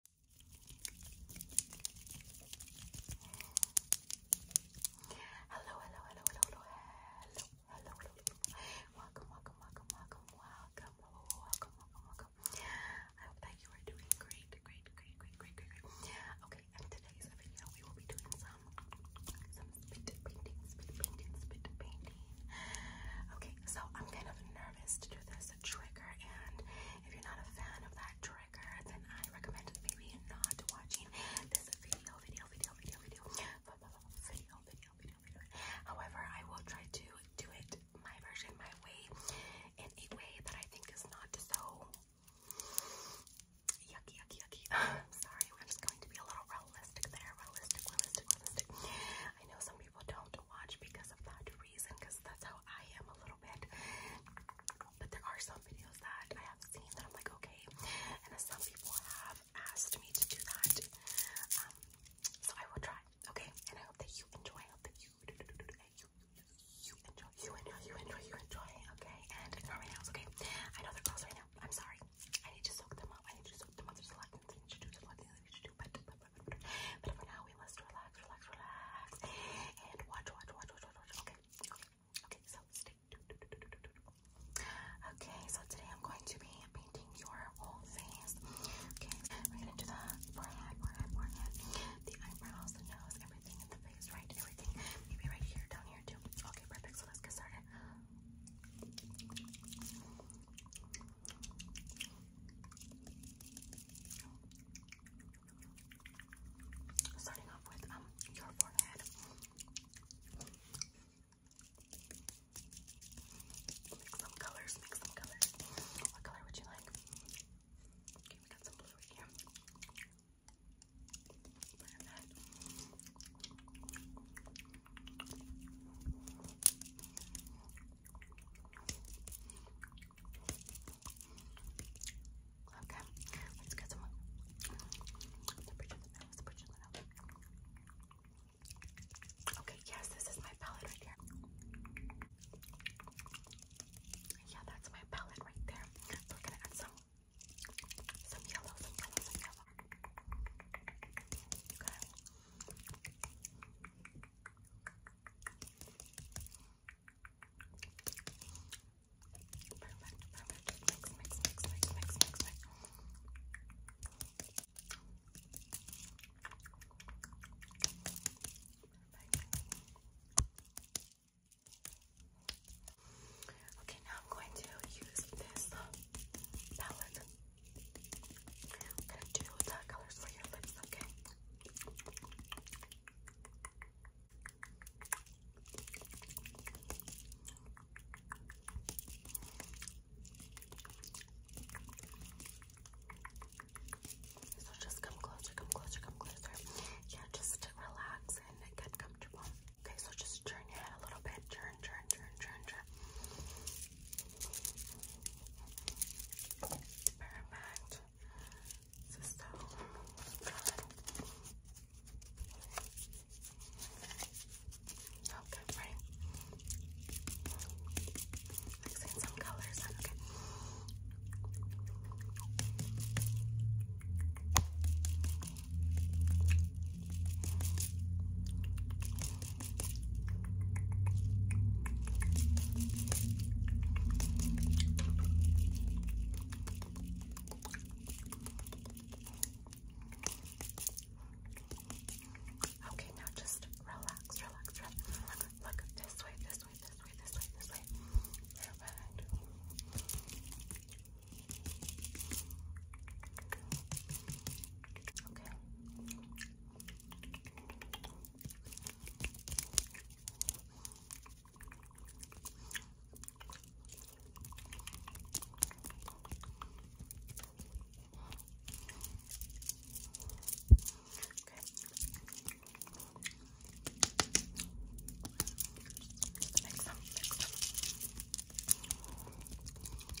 Hello, hello, hello, hello, hello, hello, hello, welcome, welcome, welcome, welcome, welcome, welcome, welcome, welcome. I hope that you are doing great, great, great, great, great, great, great. Okay, in today's video, we will be doing some, some spit painting, spit painting, spit painting. Okay, so I'm kind of nervous to do this is a trigger, and if you're not a fan of that trigger, then I recommend maybe not watching this video, video, video, video, video, video, video, video, video. However, I will try to do it my version, my way, in a way that I think is not so yucky, yucky, yucky. Sorry, I'm just going to be a little realistic there, realistic, realistic, realistic. I know some people don't watch because of that reason, because that's how I am a little bit. But there are some videos that I have seen that I'm like, okay. And some people have asked me to do that. Um, so I will try, okay? And I hope that you enjoy. I hope that you, you, you enjoy, you enjoy, you enjoy, you enjoy, okay? And ignore my nails, okay? I know they're close right now. I'm sorry. I need to soak them up. I need to soak them up. There's a lot of things to do. There's do. But for now, we must relax, relax, relax, and watch, watch, watch, watch, watch, Okay, okay, okay. So Okay, so today I'm going to be painting your whole face. Okay, we're gonna do the forehead, forehead, forehead, the eyebrows, the nose, everything in the face, right? Everything, maybe right here, down here too. Okay, perfect. So let's get started. Starting off with um your forehead. Mix some colors, mix some colors. What color would you like? Okay, we got some blue here. Okay, let's get someone. Okay, yes, this is my palette right here. Yeah, that's my palette right there. we're gonna add some, some yellow, some yellow, some yellow. Okay. Perfect, perfect. Okay, now I'm going to use this palette. I'm gonna do dark colors for your lips, okay? So just come closer, come closer, come closer. Yeah, just relax and get comfortable. Okay, so just turn your head a little bit. Turn, turn, turn, turn, turn. Perfect. This um, Okay, right. Like seeing some colors Okay, Okay, now just relax, relax, relax. Look, this way, this way, this way, this way, this way. Perfect. Okay. Okay. Next one, next one.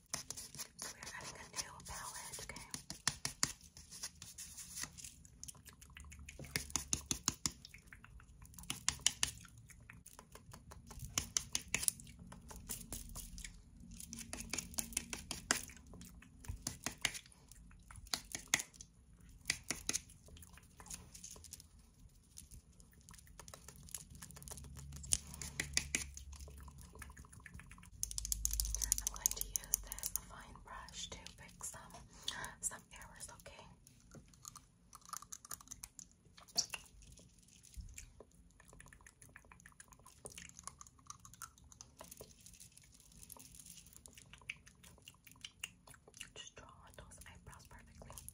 We're adding a new palette, Okay. I'm going to use this fine brush to fix some some errors, okay? Just draw those eyebrows perfectly. Okay.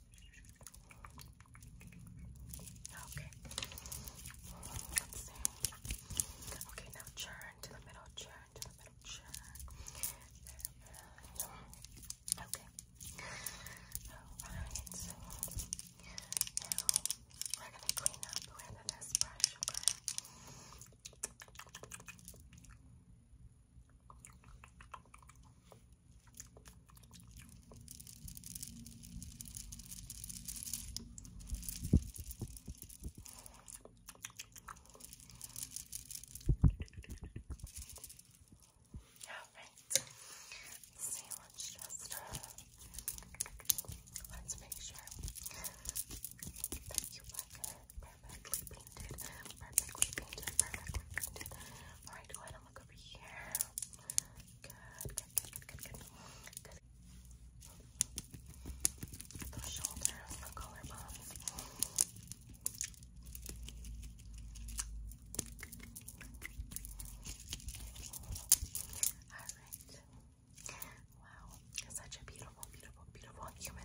Okay. let Okay, now churn to the middle, churn to the middle, churn. Okay. so now we're gonna clean up with this brush, Alright, see, let's just, let's make sure that you like perfectly painted, perfectly painted, perfectly painted. Alright, go ahead and look over here. Good, good, good, good, good, good. good. shoulders, the collarbones. Alright. Wow, such a beautiful, beautiful, beautiful human